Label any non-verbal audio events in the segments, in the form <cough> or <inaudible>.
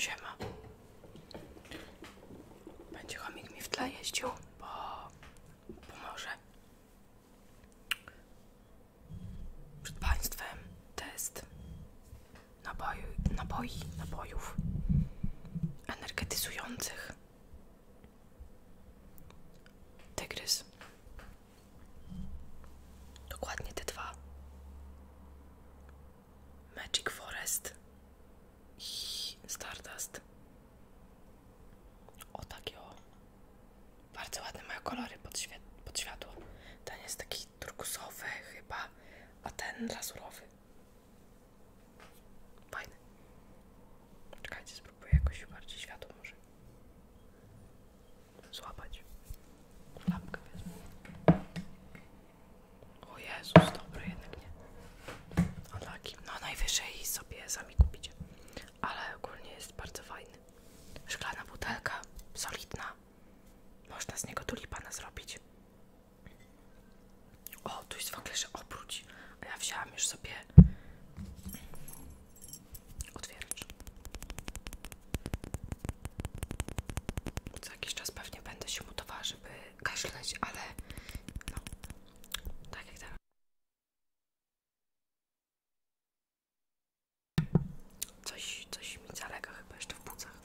Siema. Będzie chomik mi w tle jeździł, bo pomoże. Przed Państwem test naboju, naboi, naboiów energetyzujących. Tygrys. Dokładnie te dwa. Magic Forest i Stardust. O takie o. Bardzo ładne mają kolory pod, świe światło. Ten jest taki turkusowy chyba, a ten lazurowy. Fajny. Czekajcie, spróbuję jakoś bardziej światło może złapać. Lampkę wezmę. O Jezus, dobry jednak nie. Unlucky. No najwyżej sobie sami kupicie ale ogólnie jest bardzo fajny. Szklana butelka, solidna. Można z niego tulipana zrobić. O, tu jest w ogóle, że obróć. A ja wzięłam już sobie otwieracz. Co jakiś czas pewnie będę się mutowała, żeby kaszleć, ale no, tak jak teraz. Coś, coś mi zalega chyba jeszcze w płucach.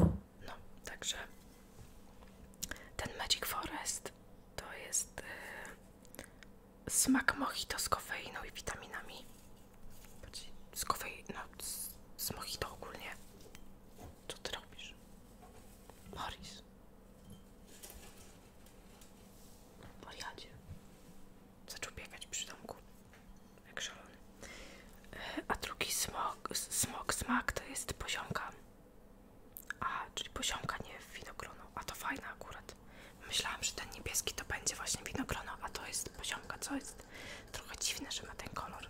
No, także ten Magic Forest to jest yy, smak mojito z kofeiną no i witaminami. Z kofeiną, no, z, z mojito ogólnie. Co ty robisz? Boris. Wariacie. Zaczął biegać przy domku. E, a drugi smog, smog, smak to jest poziomka. A, czyli poziomka, nie winogrono. A to fajne akurat. Myślałam, że ten niebieski to będzie właśnie winogrono, a to jest poziomka, co jest trochę dziwne, że ma ten kolor.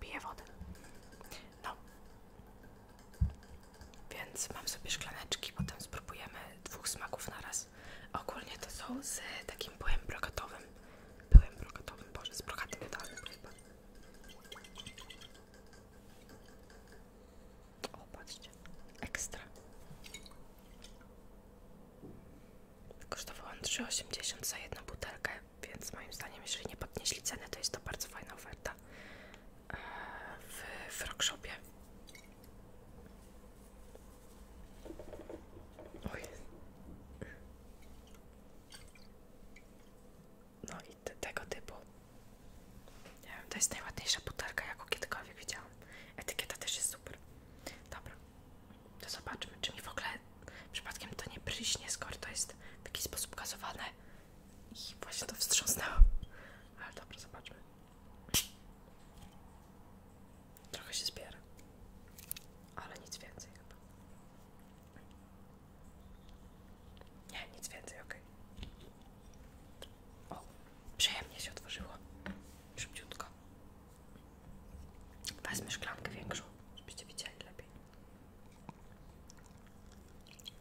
Piję wodę. No. Więc mam sobie szklaneczki, potem spróbujemy dwóch smaków na raz. Ogólnie to są z takim pyłem brokatowym. Pyłem brokatowym, boże, z brokatem wydalnym chyba. O, patrzcie, ekstra. Kosztowałam 3,80 za jedną butelkę, więc moim zdaniem, jeżeli nie podnieśli ceny, to jest to bardzo fajna oferta w frogshopie. Oj. No i tego typu. Nie wiem, to jest najładniejsza butelka, jaką kiedykolwiek widziałam. Etykieta też jest super. Dobra, to zobaczmy, czy mi w ogóle przypadkiem to nie pryśnie, skoro to jest w jakiś sposób gazowane. I właśnie to wstrząsnęło. Ale dobra, zobaczmy. Trochę się zbiera, ale nic więcej Nie, nic więcej, ok. O, przyjemnie się otworzyło. Szybciutko. Wezmę szklankę większą, żebyście widzieli lepiej.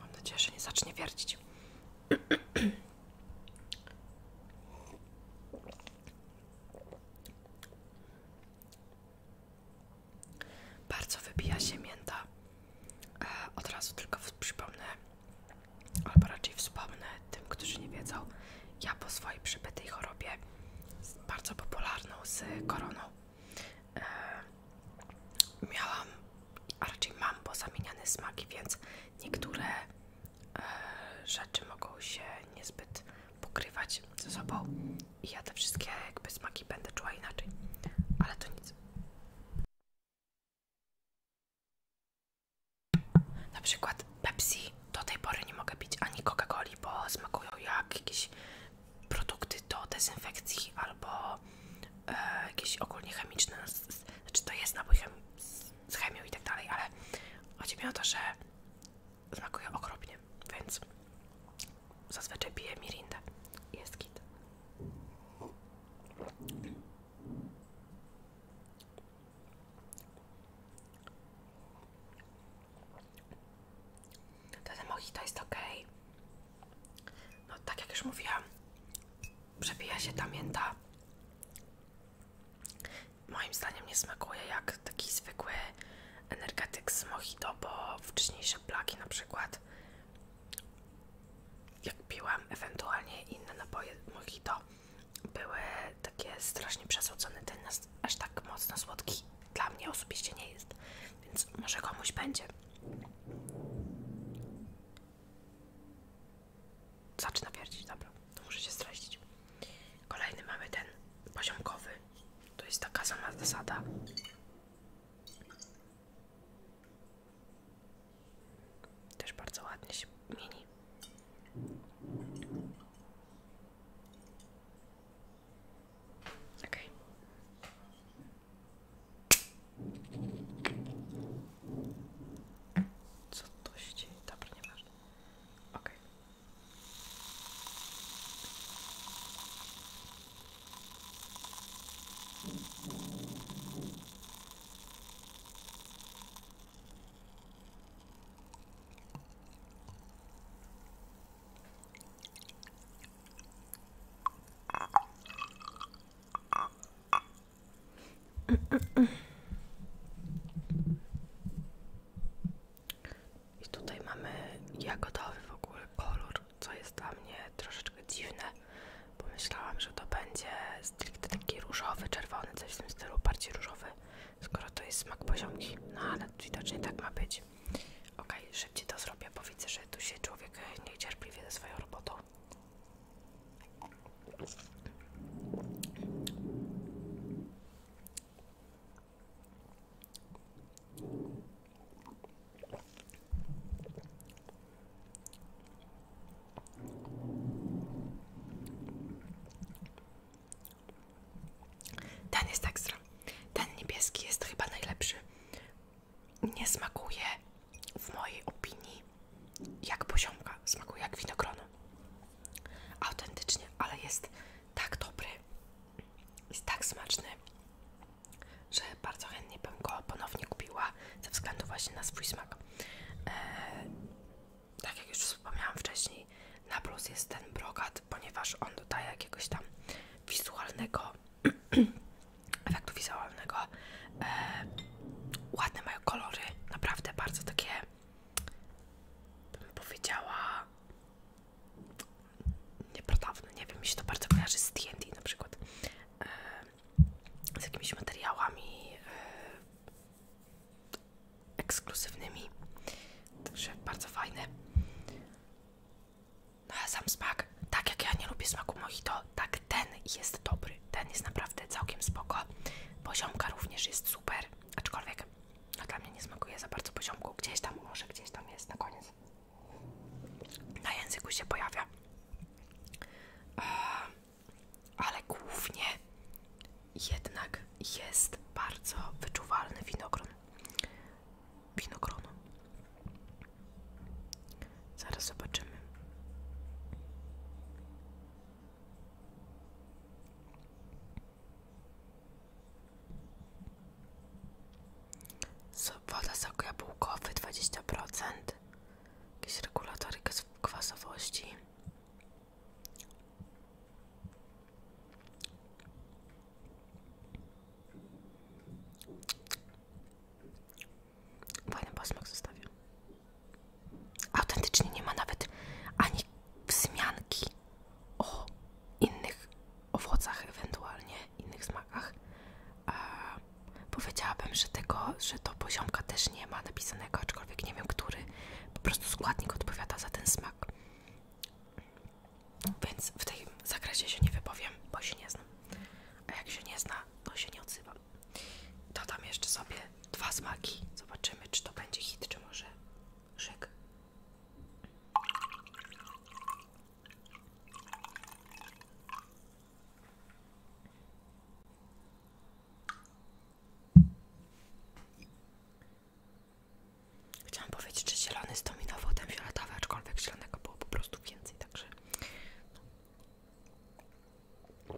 Mam nadzieję, że nie zacznie wiercić. Bardzo wybija się mięta. E, od razu tylko przypomnę, albo raczej wspomnę tym, którzy nie wiedzą, ja po swojej przybytej chorobie bardzo popularną z koroną. E, miałam, a raczej mam pozamieniane smaki, więc niektóre e, rzeczy mogą się niezbyt pokrywać ze sobą i ja te wszystkie jakby smaki będę czuła inaczej, ale to nic. Na przykład Pepsi do tej pory nie mogę pić ani Coca-Coli, bo smakują jak jakieś produkty do dezynfekcji albo e, jakieś ogólnie chemiczne. No, czy znaczy to jest napój chemi z chemią i tak dalej, ale chodzi mi o to, że smakuje okropnie, więc zazwyczaj piję mirindę. Jest kit. To ten mojito jest ok. No tak jak już mówiłam, przebija się ta mięta. Moim zdaniem nie smakuje jak taki zwykły energetyk z mojito, bo wcześniejsze plaki na przykład jak piłam ewentualnie inne napoje mojito były takie strasznie przesłodzone, ten jest aż tak mocno słodki dla mnie osobiście nie jest, więc może komuś będzie. Zaczyna pierdzić, dobra, to muszę się streścić. Kolejny mamy ten poziomkowy. To jest taka sama zasada. Też bardzo ładnie się mieni. Ok. Co to się dzieje? Dobra, nieważne. Ok. I tutaj mamy jagodowy w ogóle kolor, co jest dla mnie troszeczkę dziwne. bo myślałam, że to będzie stricte taki różowy, czerwony, coś w tym stylu, bardziej różowy skoro to jest smak poziomki. No ale widocznie tak ma być. Ok, szybciej to zrobię, bo widzę, że tu się człowiek e, niecierpliwie ze swoją robotą. Ten jest tak ekstra. Ten niebieski jest chyba najlepszy. Nie smakuje w mojej opinii jak poziomka. Smakuje jak winogrono. Autentycznie, ale jest tak dobry. Jest tak smaczny, że bardzo chętnie bym go ponownie kupiła ze względu właśnie na swój smak. Eee, tak jak już wspomniałam wcześniej, na plus jest ten brokat, ponieważ on dodaje jakiegoś tam wizualnego <clears throat> efektu wizualnego. E, ładne mają kolory, naprawdę bardzo takie, bym powiedziała, nieprodawne. Nie wiem, mi się to bardzo kojarzy z D&D na przykład. E, z jakimiś materiałami, e, ekskluzywnymi. Także bardzo fajne. No sam smak, tak jak ja nie lubię smaku mojito, tak ten jest dobry. Ten jest naprawdę całkiem spoko. Poziomka również jest super, aczkolwiek no dla mnie nie smakuje za bardzo poziomku. Gdzieś tam, może gdzieś tam jest na koniec. Na języku się pojawia. Ehm, ale głównie jednak jest bardzo wyczuwalny winogron. Winogronu. Zaraz zobaczymy. Woda sok jabłkowy 20%. Jakieś regulatory kwasowości. Fajny posmak zostawił. Autentycznie nie ma nawet ani wzmianki o innych owocach, ewentualnie innych smakach. E, powiedziałabym, że tego, że to poziomka też nie ma napisanego, aczkolwiek nie wiem, który po prostu składnik odpowiada za ten smak. Tak. Więc w tym zakresie się nie wypowiem, bo się nie znam. A jak się nie zna, to się nie odzywam. Dodam jeszcze sobie dwa smaki. Zobaczymy, czy to będzie hit, czy może szyk. Chciałam powiedzieć, że zielony zdominował ten fioletowy, aczkolwiek zielonego było po prostu więcej, także... No.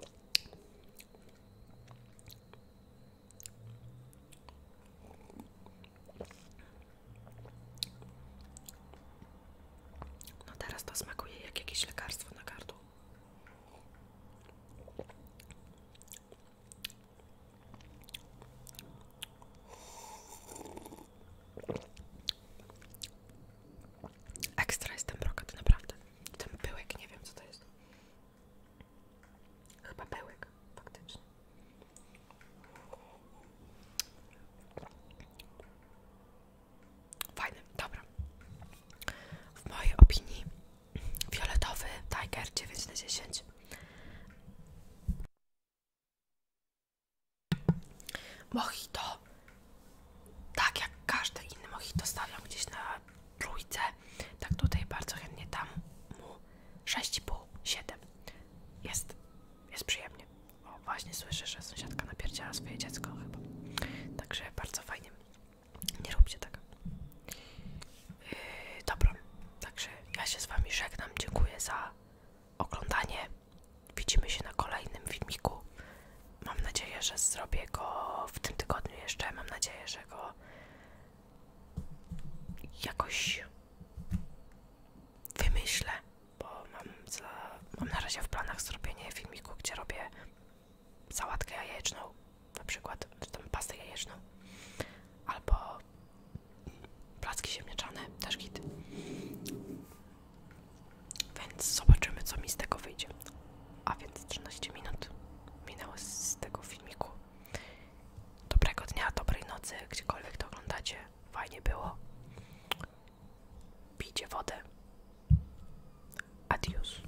no teraz to smakuje jak jakieś lekarstwo na gardło. Ekstra jest ten naprawdę. Ten pyłek, nie wiem co to jest. Chyba pyłek, faktycznie. Fajny, dobra. W mojej opinii Fioletowy Tiger 9 na 10 Mojito Tak jak każdy inny mojito stawiam gdzieś na trójce Tak tutaj bardzo chętnie Tam mu 6,5, 7 Jest, jest przyjemnie O właśnie słyszę, że sąsiadka napierdziała swoje dziecko chyba Także bardzo fajnie nie róbcie tak. Yy, dobra, także ja się z Wami żegnam. Dziękuję za oglądanie. Widzimy się na kolejnym filmiku. Mam nadzieję, że zrobię go w tym tygodniu jeszcze. Mam nadzieję, że go jakoś wymyślę, bo mam na razie w planach zrobienie filmiku, gdzie robię sałatkę jajeczną, na przykład, tam pastę jajeczną, albo placki ziemniaczane, też git. Więc zobaczymy, co mi z tego wyjdzie. A więc 13 minut minęło z tego filmiku. Dobrego dnia, dobrej nocy, gdziekolwiek to oglądacie. Fajnie było. Pijcie wodę. Adios.